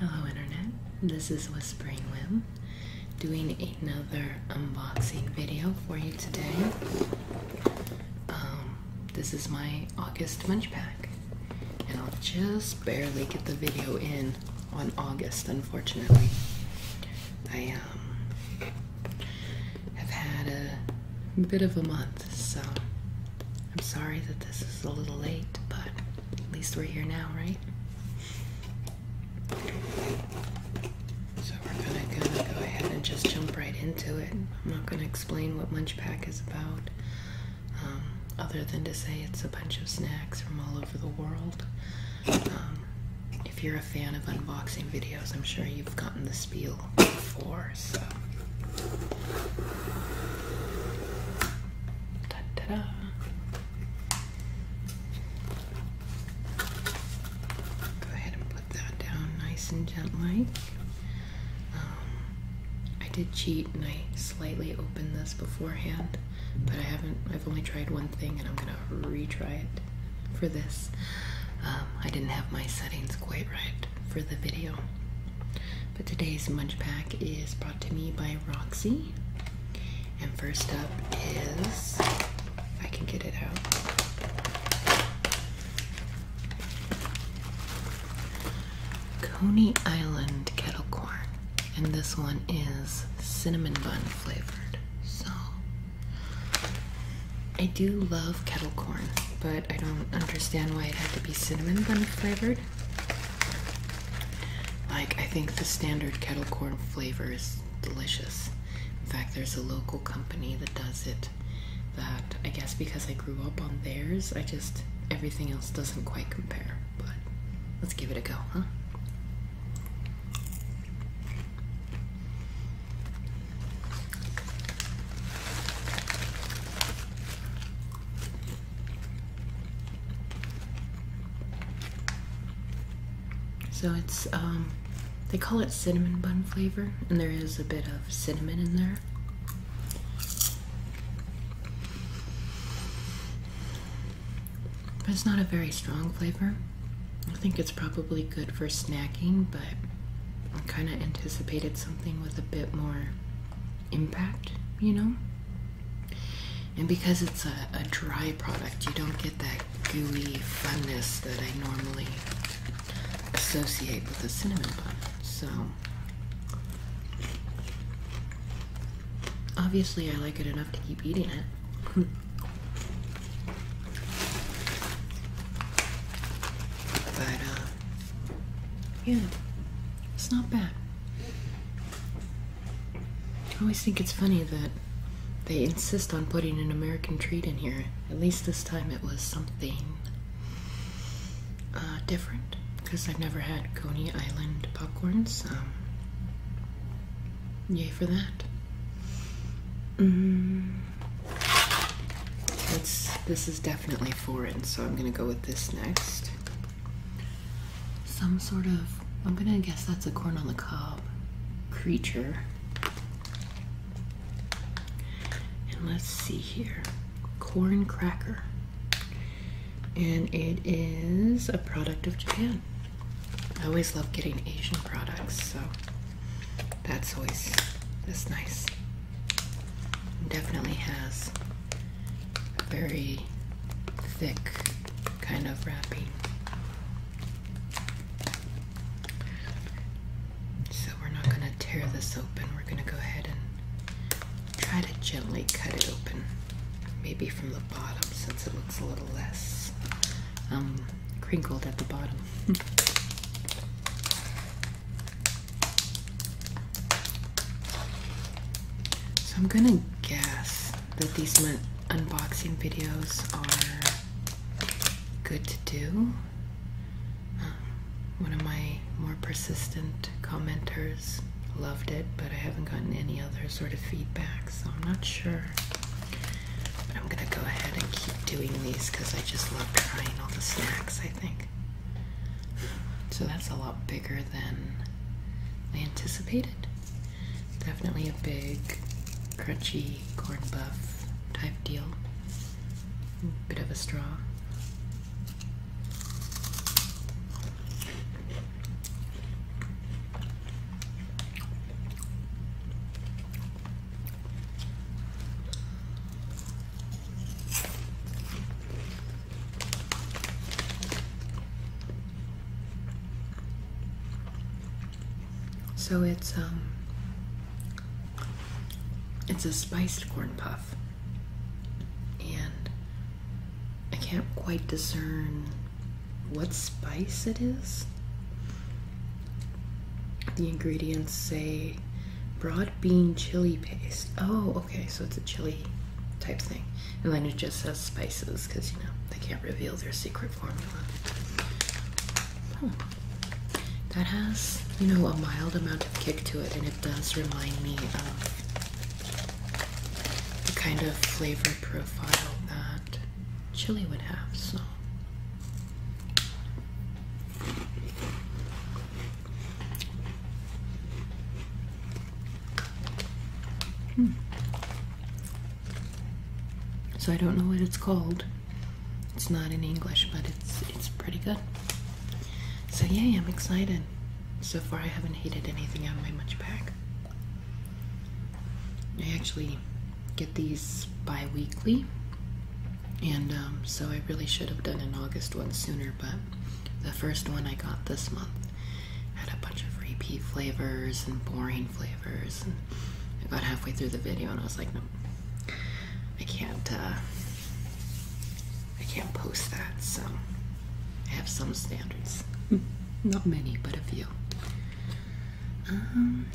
Hello, Internet. This is Whispering Whim doing another unboxing video for you today. Um, this is my August Munch Pack, and I'll just barely get the video in on August, unfortunately. I um, have had a bit of a month so I'm sorry that this is a little late, but at least we're here now, right? So we're gonna, go ahead and just jump right into it. I'm not gonna explain what Munchpack is about, um, other than to say it's a bunch of snacks from all over the world. Um, if you're a fan of unboxing videos, I'm sure you've gotten the spiel before. Go ahead and put that down nice and gently. Um, I did cheat and I slightly opened this beforehand, but I haven't, I've only tried one thing and I'm gonna retry it for this. Um, I didn't have my settings quite right for the video. But today's munch pack is brought to me by Roxy. And first up is, I can get it out. Coney Island kettle corn. And this one is cinnamon bun flavored. So I do love kettle corn, but I don't understand why it had to be cinnamon bun flavored. Like, I think the standard kettle corn flavor is delicious. In fact, there's a local company that does it. That I guess because I grew up on theirs, I just everything else doesn't quite compare. But let's give it a go, huh? So it's, um, they call it cinnamon bun flavor, and there is a bit of cinnamon in there. But it's not a very strong flavor. I think it's probably good for snacking, but I kind of anticipated something with a bit more impact, you know? And because it's a, dry product, you don't get that gooey funness that I normally associate with a cinnamon bun. So, obviously, I like it enough to keep eating it. but, uh, yeah, it's not bad. I always think it's funny that they insist on putting an American treat in here. At least this time it was something uh, different because I've never had Coney Island popcorns. Um, yay for that. Mm. It's this is definitely foreign, so I'm gonna go with this next. Some sort of, I'm gonna guess that's a corn on the cob creature. And let's see here corn cracker. And it is a product of Japan. I always love getting Asian products, so that's always that's nice. Definitely has a very thick kind of wrapping. So we're not going to tear this open. We're going to go ahead and try to gently cut it open. Maybe from the bottom since it looks a little less um, crinkled at the bottom. So I'm gonna guess that these unboxing videos are good to do. Um, one of my more persistent commenters loved it, but I haven't gotten any other sort of feedback, so I'm not sure. But I'm gonna go ahead and keep doing these because I just love trying all the snacks, I think. So that's a lot bigger than I anticipated. Definitely a big, crunchy corn buff type deal. Bit of a straw. So it's um it's a spiced corn puff. And I can't quite discern what spice it is. The ingredients say broad bean chili paste. Oh, okay, so it's a chili type thing. And then it just says spices because you know they can't reveal their secret formula. Hmm. That has, you know, a mild amount of kick to it, and it does remind me of the kind of flavor profile that chili would have, so Hmm. So I don't know what it's called. It's not in English, but it's it's pretty good. So yay, I'm excited. So far I haven't hated anything on my munch pack. I actually get these bi-weekly and um, so I really should have done an August one sooner, but the first one I got this month had a bunch of repeat flavors and boring flavors, and I got halfway through the video and I was like, no, I can't. Uh, I can't post that. So I have some standards, hmm. not many, but a few. Um,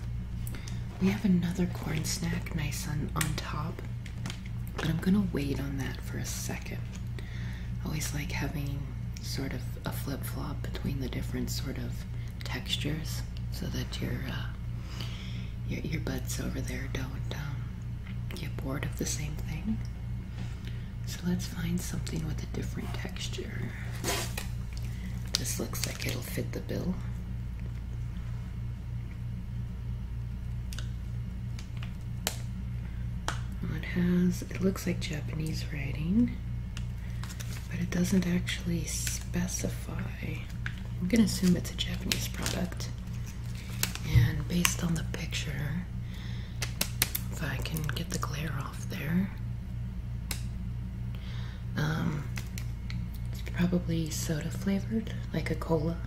we have another corn snack, nice on on top. But I'm gonna wait on that for a second. always like having sort of a flip flop between the different sort of textures so that your uh, your earbuds over there don't um, get bored of the same thing. So let's find something with a different texture. This looks like it'll fit the bill. It has, it looks like Japanese writing, but it doesn't actually specify. I'm gonna assume it's a Japanese product. And based on the picture, if I can get the glare off there, um, it's probably soda flavored, like a cola.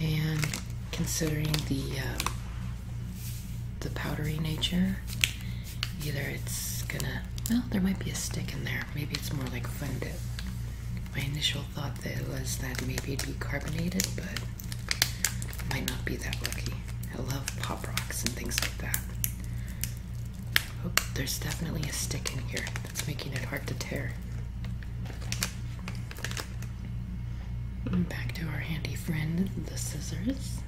And considering the um, the powdery nature, either it's gonna well, there might be a stick in there. Maybe it's more like fun dip. My initial thought that was that maybe it'd be carbonated, but might not be that lucky. I love pop rocks and things like that. Oh, there's definitely a stick in here that's making it hard to tear. Back to our handy friend, the scissors.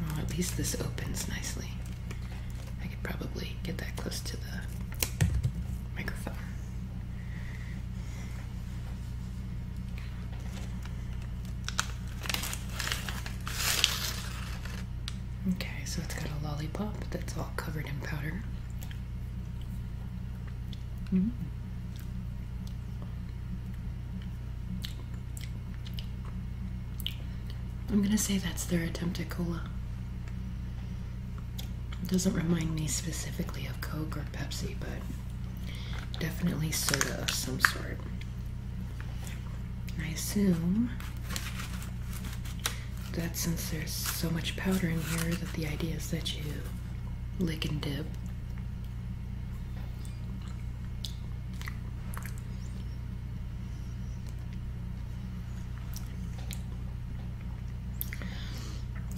Well, at least this opens nicely. I could probably get that close to the microphone. Okay, so it's got a lollipop that's all covered in powder. Mm-hmm. I'm gonna say that's their attempt at cola. It doesn't remind me specifically of Coke or Pepsi, but definitely soda of some sort. I assume that since there's so much powder in here that the idea is that you lick and dip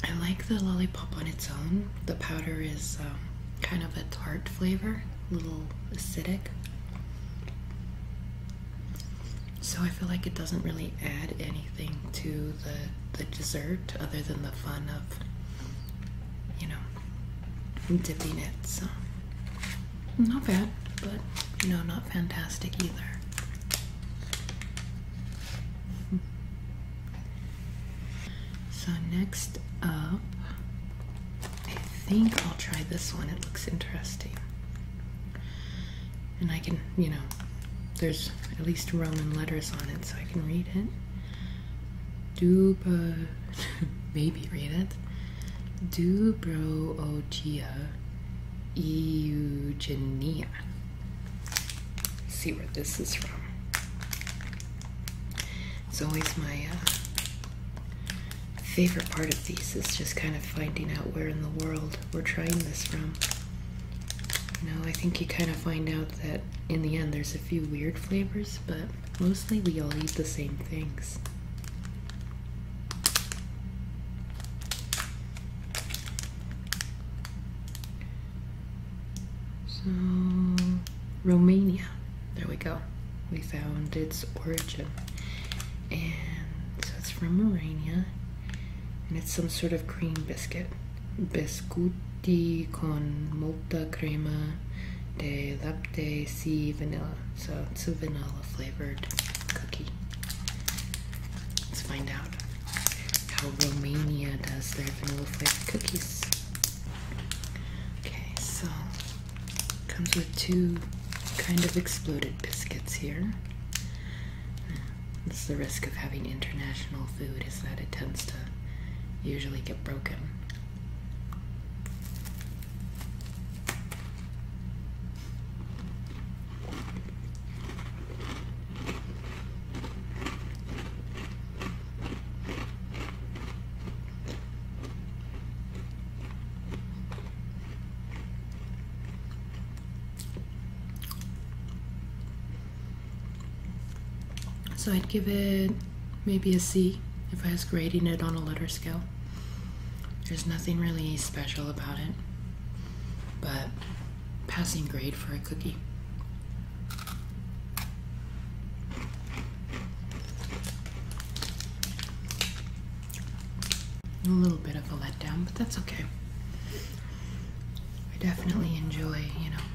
I like the lollipop on its own. The powder is um, kind of a tart flavor, a little acidic. So I feel like it doesn't really add anything to the the dessert other than the fun of you know dipping it. So not bad, but you know not fantastic either. So next up, I think I'll try this one. It looks interesting and I can, you know, there's at least Roman letters on it, so I can read it. Duba, maybe read it. Dubroogia Eugenia. see where this is from. It's always my uh, favorite part of these is just kind of finding out where in the world we're trying this from. You I think you kind of find out that in the end there's a few weird flavors, but mostly we all eat the same things. So, Romania. There we go. We found its origin. And it's from Romania and it's some sort of cream biscuit. Biscuiti con molta crema de latte si vanilla. So it's a vanilla flavored cookie. Let's find out how Romania does their vanilla flavored cookies. Okay, so comes with two kind of exploded biscuits here. That's the risk of having international food is that it tends to usually get broken. So I'd give it maybe a C if I was grading it on a letter scale. There's nothing really special about it, but passing grade for a cookie. A little bit of a letdown, but that's okay. I definitely enjoy, you know,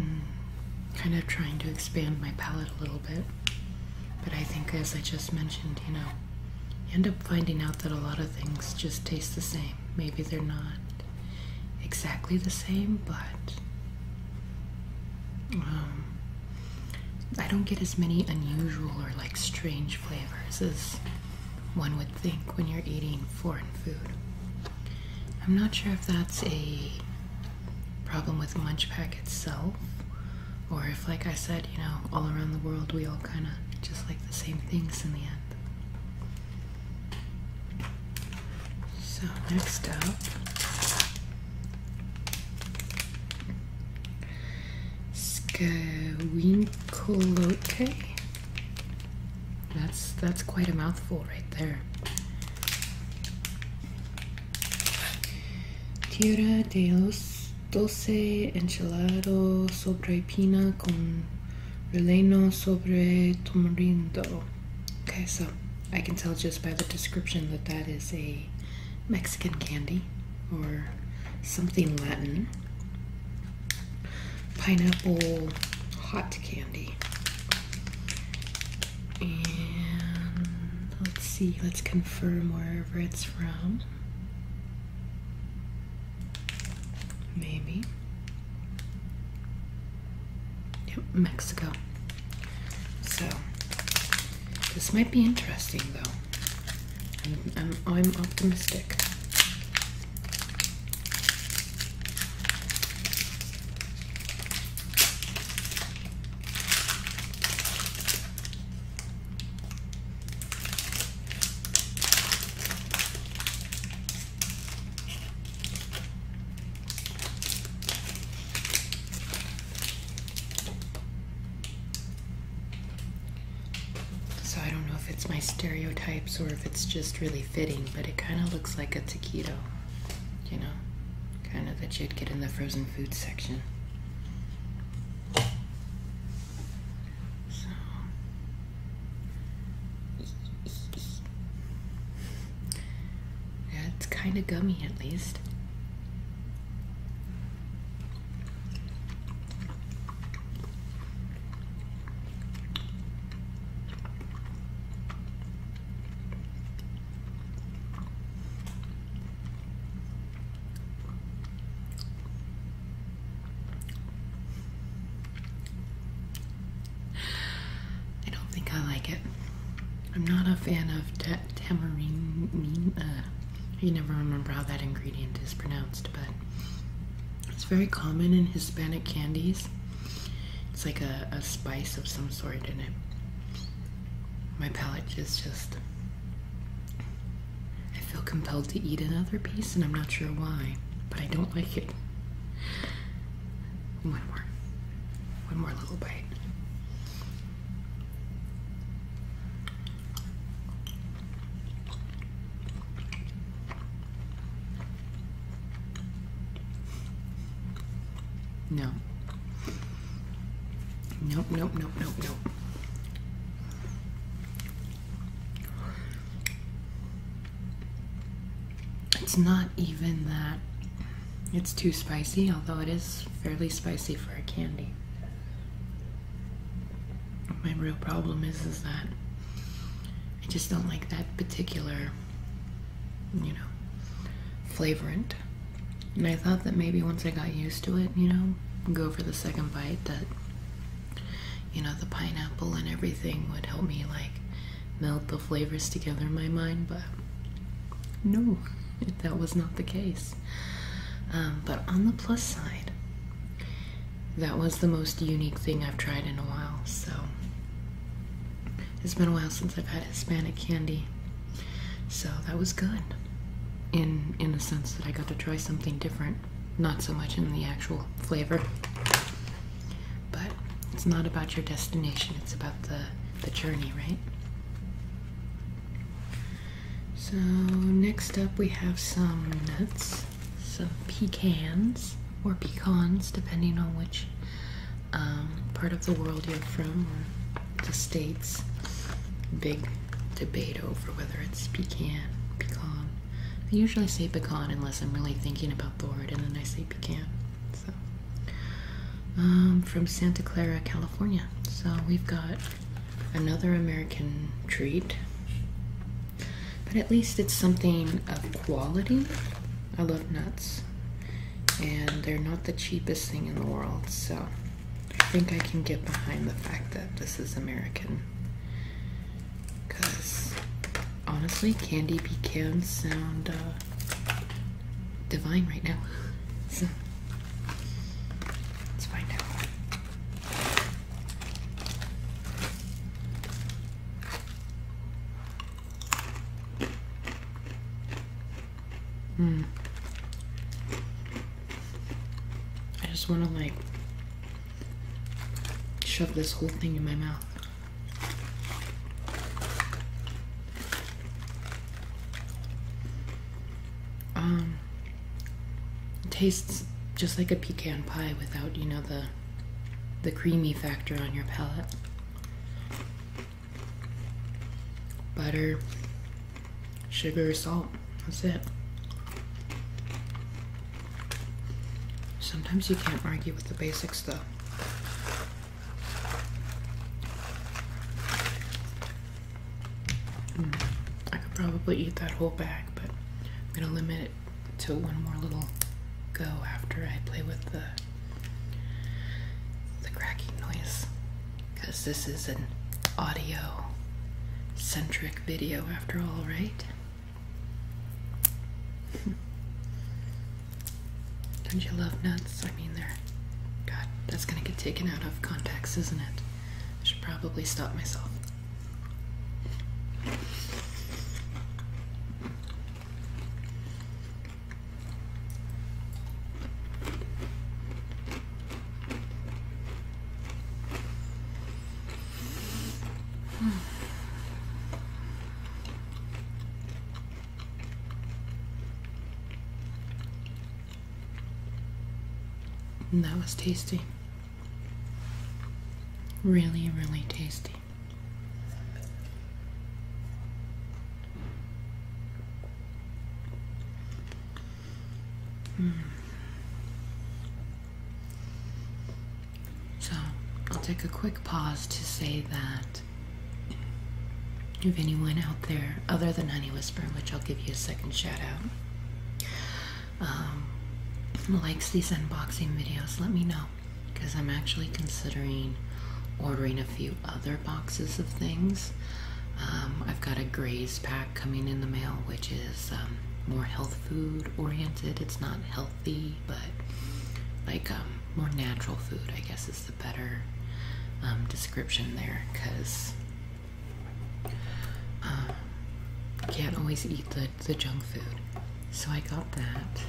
mm, kind of trying to expand my palate a little bit. But I think, as I just mentioned, you know, you end up finding out that a lot of things just taste the same. Maybe they're not exactly the same, but um, I don't get as many unusual or like strange flavors as one would think when you're eating foreign food. I'm not sure if that's a problem with Munchpack itself, or if, like I said, you know, all around the world we all kind of just like the same things in the end. So, next up. Scawinkolote. That's that's quite a mouthful right there. Tierra de los dulce enchilado sobre pina con relleno sobre tamarindo. Okay, so I can tell just by the description that that is a Mexican candy or something Latin. Pineapple hot candy. And let's see, let's confirm wherever it's from. Maybe. Yep, Mexico. So, this might be interesting though. I'm, I'm optimistic. So I don't know if it's my stereotypes or if it's just really fitting, but it kind of looks like a taquito, you know, kind of that you'd get in the frozen food section. So. Yeah, it's kind of gummy at least. I don't think I like it. I'm not a fan of ta tamarind, uh, I can never remember how that ingredient is pronounced, but it's very common in Hispanic candies. It's like a, a spice of some sort in it. My palate is just. I feel compelled to eat another piece, and I'm not sure why, but I don't like it. One more. One more little bite. No. Nope, nope, nope, nope, nope. It's not even that it's too spicy, although it is fairly spicy for a candy my real problem is is that I just don't like that particular, you know, flavorant. And I thought that maybe once I got used to it, you know, go for the second bite that, you know, the pineapple and everything would help me like melt the flavors together in my mind, but no, that was not the case. Um, but on the plus side, that was the most unique thing I've tried in a while. So it's been a while since I've had Hispanic candy. So that was good. In in the sense that I got to try something different. Not so much in the actual flavor. But it's not about your destination, it's about the, the journey, right? So next up we have some nuts some pecans or pecans, depending on which um, part of the world you're from or the states. Big debate over whether it's pecan, pecan. I usually say pecan unless I'm really thinking about the word, and then I say pecan. So, um, from Santa Clara, California. So we've got another American treat, but at least it's something of quality. I love nuts, and they're not the cheapest thing in the world, so I think I can get behind the fact that this is American. Because honestly, candy pecans sound uh, divine right now. so let's find out. Mm. I just want to like shove this whole thing in my mouth. Um, tastes just like a pecan pie without, you know, the the creamy factor on your palate. Butter, sugar, salt. That's it. Sometimes you can't argue with the basics though. Mm. I could probably eat that whole bag but I'm gonna limit it to one more little go after I play with the the cracking noise because this is an audio centric video after all, right? Don't you love nuts? I mean, they're. God, that's gonna get taken out of context, isn't it? I should probably stop myself that was tasty. Really, really tasty. Mm. So, I'll take a quick pause to say that if anyone out there other than Honey Whisper, which I'll give you a second shout out, um, likes these unboxing videos, let me know because I'm actually considering ordering a few other boxes of things. Um, I've got a Graze pack coming in the mail, which is um, more health food oriented. It's not healthy, but like more natural food, I guess is the better description there because you um, can't always eat the, the junk food. So I got that.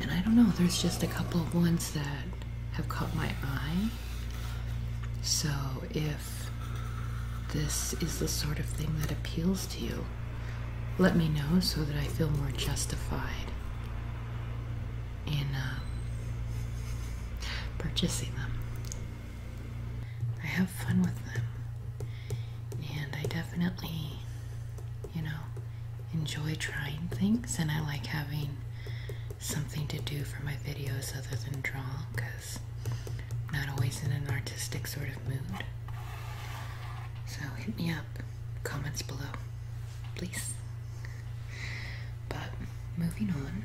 And I don't know, there's just a couple of ones that have caught my eye. So if this is the sort of thing that appeals to you, let me know so that I feel more justified in um, purchasing them. I have fun with them. And I definitely, you know, enjoy trying things and I like having something to do for my videos other than draw because I'm not always in an artistic sort of mood. So hit me up, comments below, please. But moving on,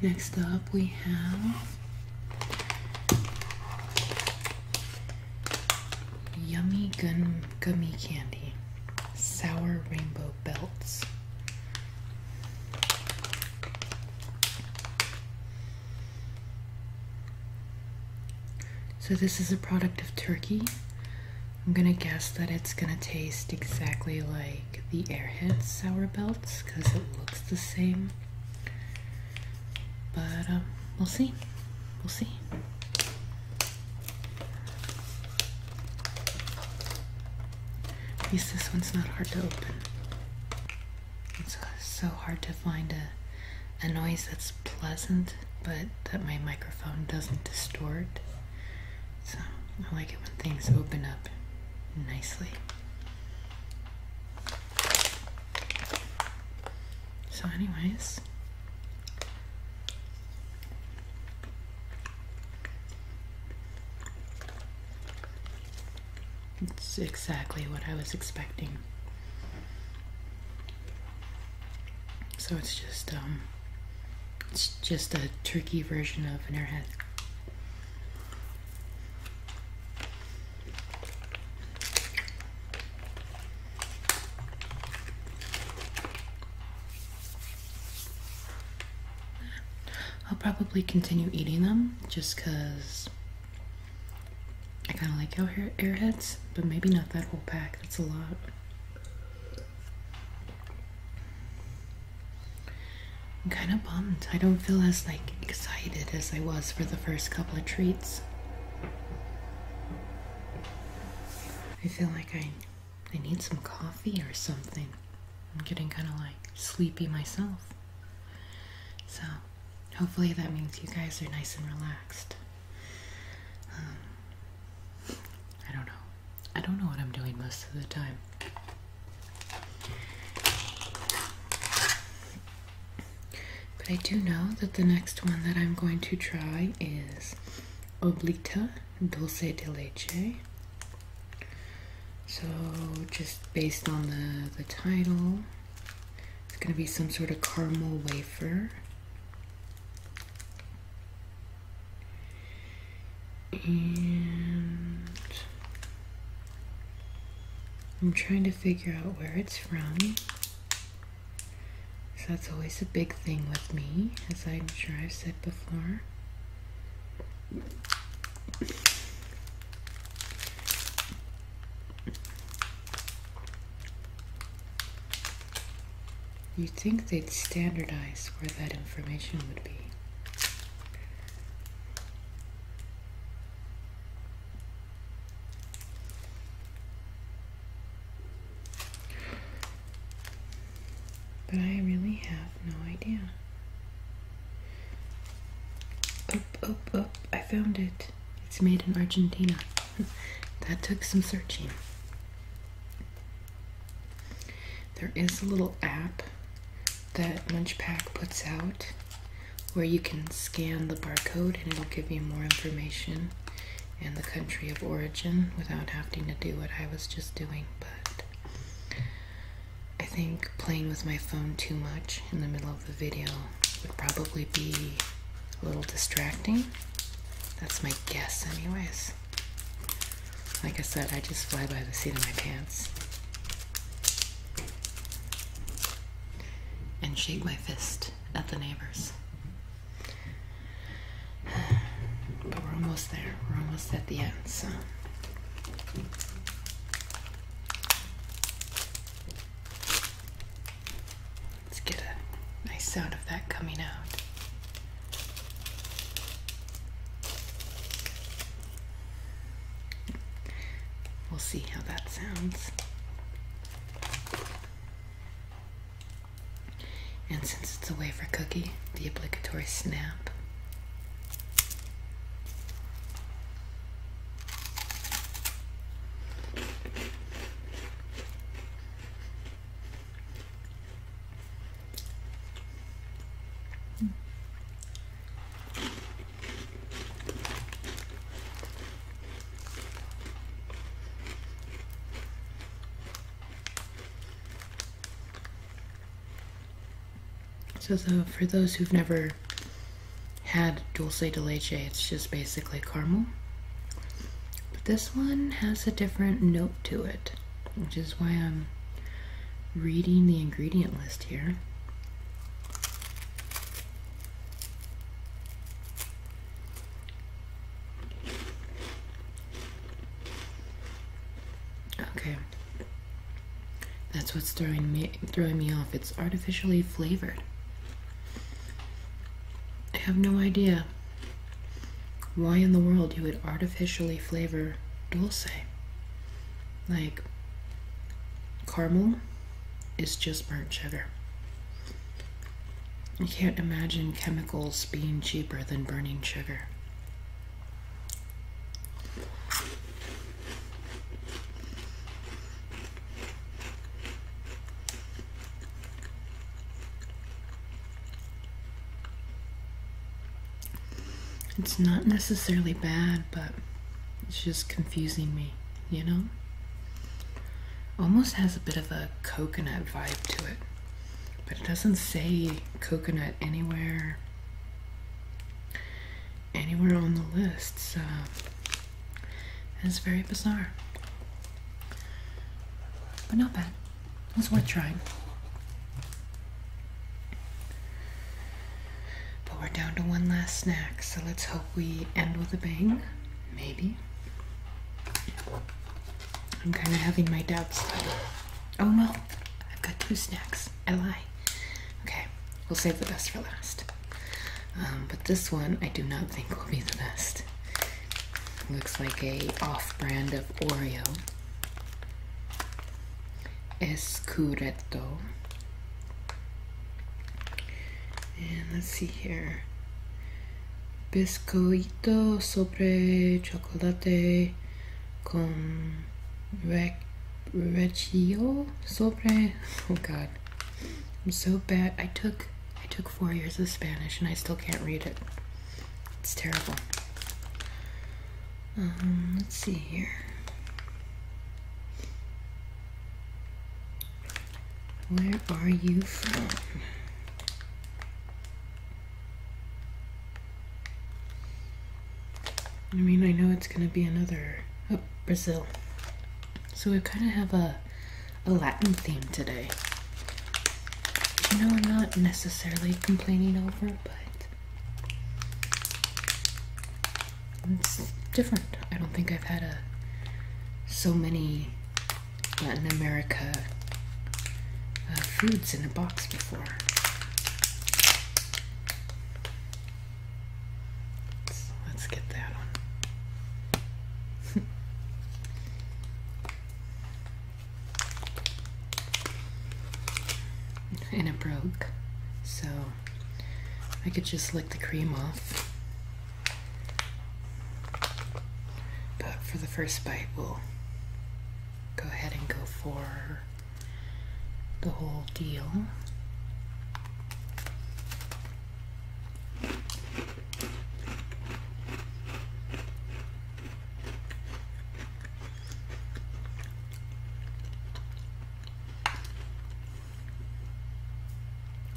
Next up, we have Yummy Gun Gummy Candy Sour Rainbow Belts. So, this is a product of Turkey. I'm gonna guess that it's gonna taste exactly like the Airhead Sour Belts because it looks the same. But um, we'll see. We'll see. At least this one's not hard to open. It's uh, so hard to find a, a noise that's pleasant, but that my microphone doesn't distort. So I like it when things open up nicely. So anyways, it's exactly what I was expecting. So it's just, um, it's just a turkey version of in an head. I'll probably continue eating them just because I kind of like air airheads, but maybe not that whole pack. That's a lot. I'm kind of bummed. I don't feel as like excited as I was for the first couple of treats. I feel like I I need some coffee or something. I'm getting kind of like sleepy myself. So, hopefully that means you guys are nice and relaxed. Um, I don't know. I don't know what I'm doing most of the time. But I do know that the next one that I'm going to try is Oblita Dulce de Leche. So, just based on the, the title, it's going to be some sort of caramel wafer. And I'm trying to figure out where it's from. So that's always a big thing with me, as I'm sure I've said before. you think they'd standardize where that information would be. But I really have no idea. Up, up, up. I found it. It's made in Argentina. that took some searching. There is a little app that Munchpack puts out where you can scan the barcode and it'll give you more information and the country of origin without having to do what I was just doing. But I think playing with my phone too much in the middle of the video would probably be a little distracting. That's my guess, anyways. Like I said, I just fly by the seat of my pants and shake my fist at the neighbors. But we're almost there. We're almost at the end, so. Let's get a nice sound of that coming out. We'll see how that sounds. And since it's a wafer cookie, the obligatory snap. So for those who've never had dulce de leche, it's just basically caramel. But this one has a different note to it, which is why I'm reading the ingredient list here. Okay. That's what's throwing me throwing me off. It's artificially flavored. I have no idea why in the world you would artificially flavor dulce. Like, caramel is just burnt sugar. I can't imagine chemicals being cheaper than burning sugar. It's not necessarily bad, but it's just confusing me, you know? Almost has a bit of a coconut vibe to it, but it doesn't say coconut anywhere anywhere on the list, so it's very bizarre. But not bad. It's worth trying. But we're down to one last snack, so let's hope we end with a bang. Maybe. I'm kind of having my doubts. Oh no, I've got two snacks. I lie. Okay, we'll save the best for last. Um, but this one I do not think will be the best. looks like a off-brand of Oreo. Escureto and let's see here. Pescoito sobre chocolate con rec Reggio sobre. Oh God, I'm so bad. I took I took four years of Spanish and I still can't read it. It's terrible. Um, let's see here. Where are you from? I mean, I know it's going to be another oh, Brazil. So we kind of have a, a Latin theme today. You I'm not necessarily complaining over, but it's different. I don't think I've had so many Latin America uh, foods in a box before. let's get that one. and it broke, so I could just lick the cream off. But for the first bite, we'll go ahead and go for the whole deal.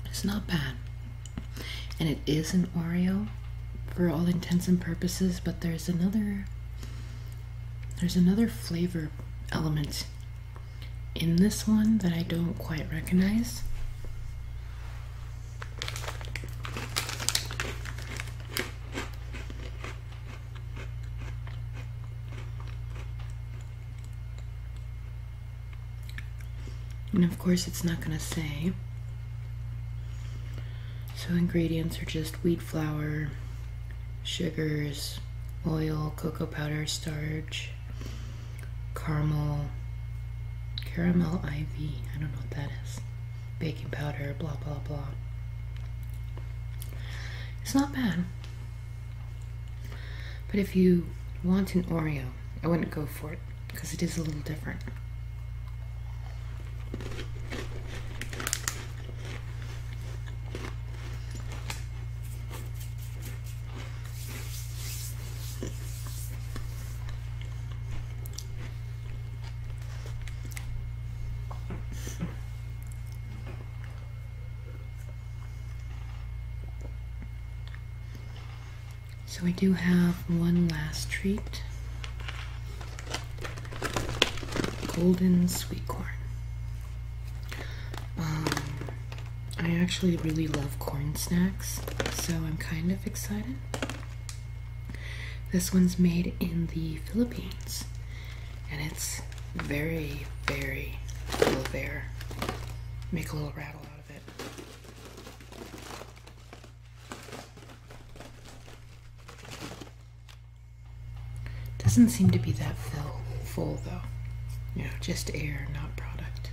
It's not bad. And it is an Oreo for all intents and purposes, but there's another there's another flavor element in this one that I don't quite recognize. And of course it's not going to say. So ingredients are just wheat flour, sugars, oil, cocoa powder, starch, caramel, caramel IV, I don't know what that is, baking powder, blah, blah, blah. It's not bad. But if you want an Oreo, I wouldn't go for it because it is a little different. So we do have one last treat. Golden sweet corn. Um, I actually really love corn snacks, so I'm kind of excited. This one's made in the Philippines and it's very, very little of air. Make a little rattle out of it. Doesn't seem to be that full, full though. You just air, not product.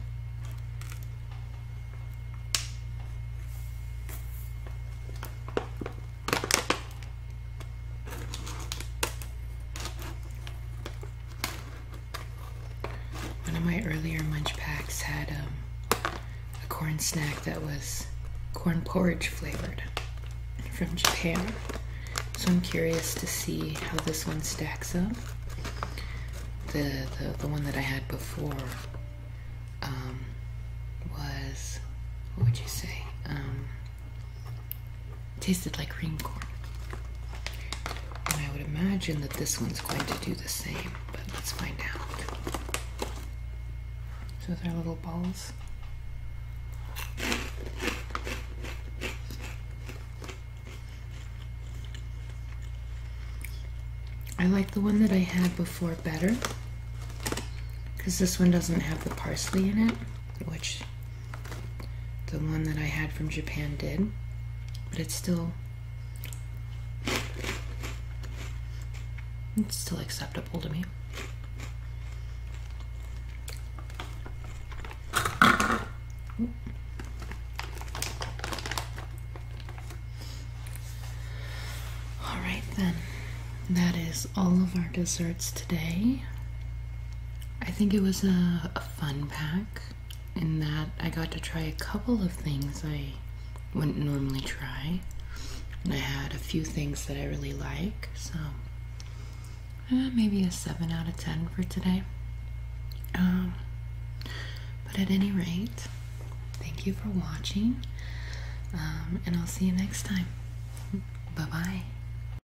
One of my earlier munch packs had um, a corn snack that was corn porridge flavored from Japan. So I'm curious to see how this one stacks up. The, the, the one that I had before um, was, what would you say? Um, tasted like green corn. And I would imagine that this one's going to do the same, but let's find out. So they're little balls. I like the one that I had before better because this one doesn't have the parsley in it, which the one that I had from Japan did, but it's still it's still acceptable to me. All right then. That is all of our desserts today. I think it was a, fun pack in that I got to try a couple of things I wouldn't normally try. And I had a few things that I really like, so eh, maybe a 7 out of 10 for today. Um, but at any rate, thank you for watching, um, and I'll see you next time. Bye bye.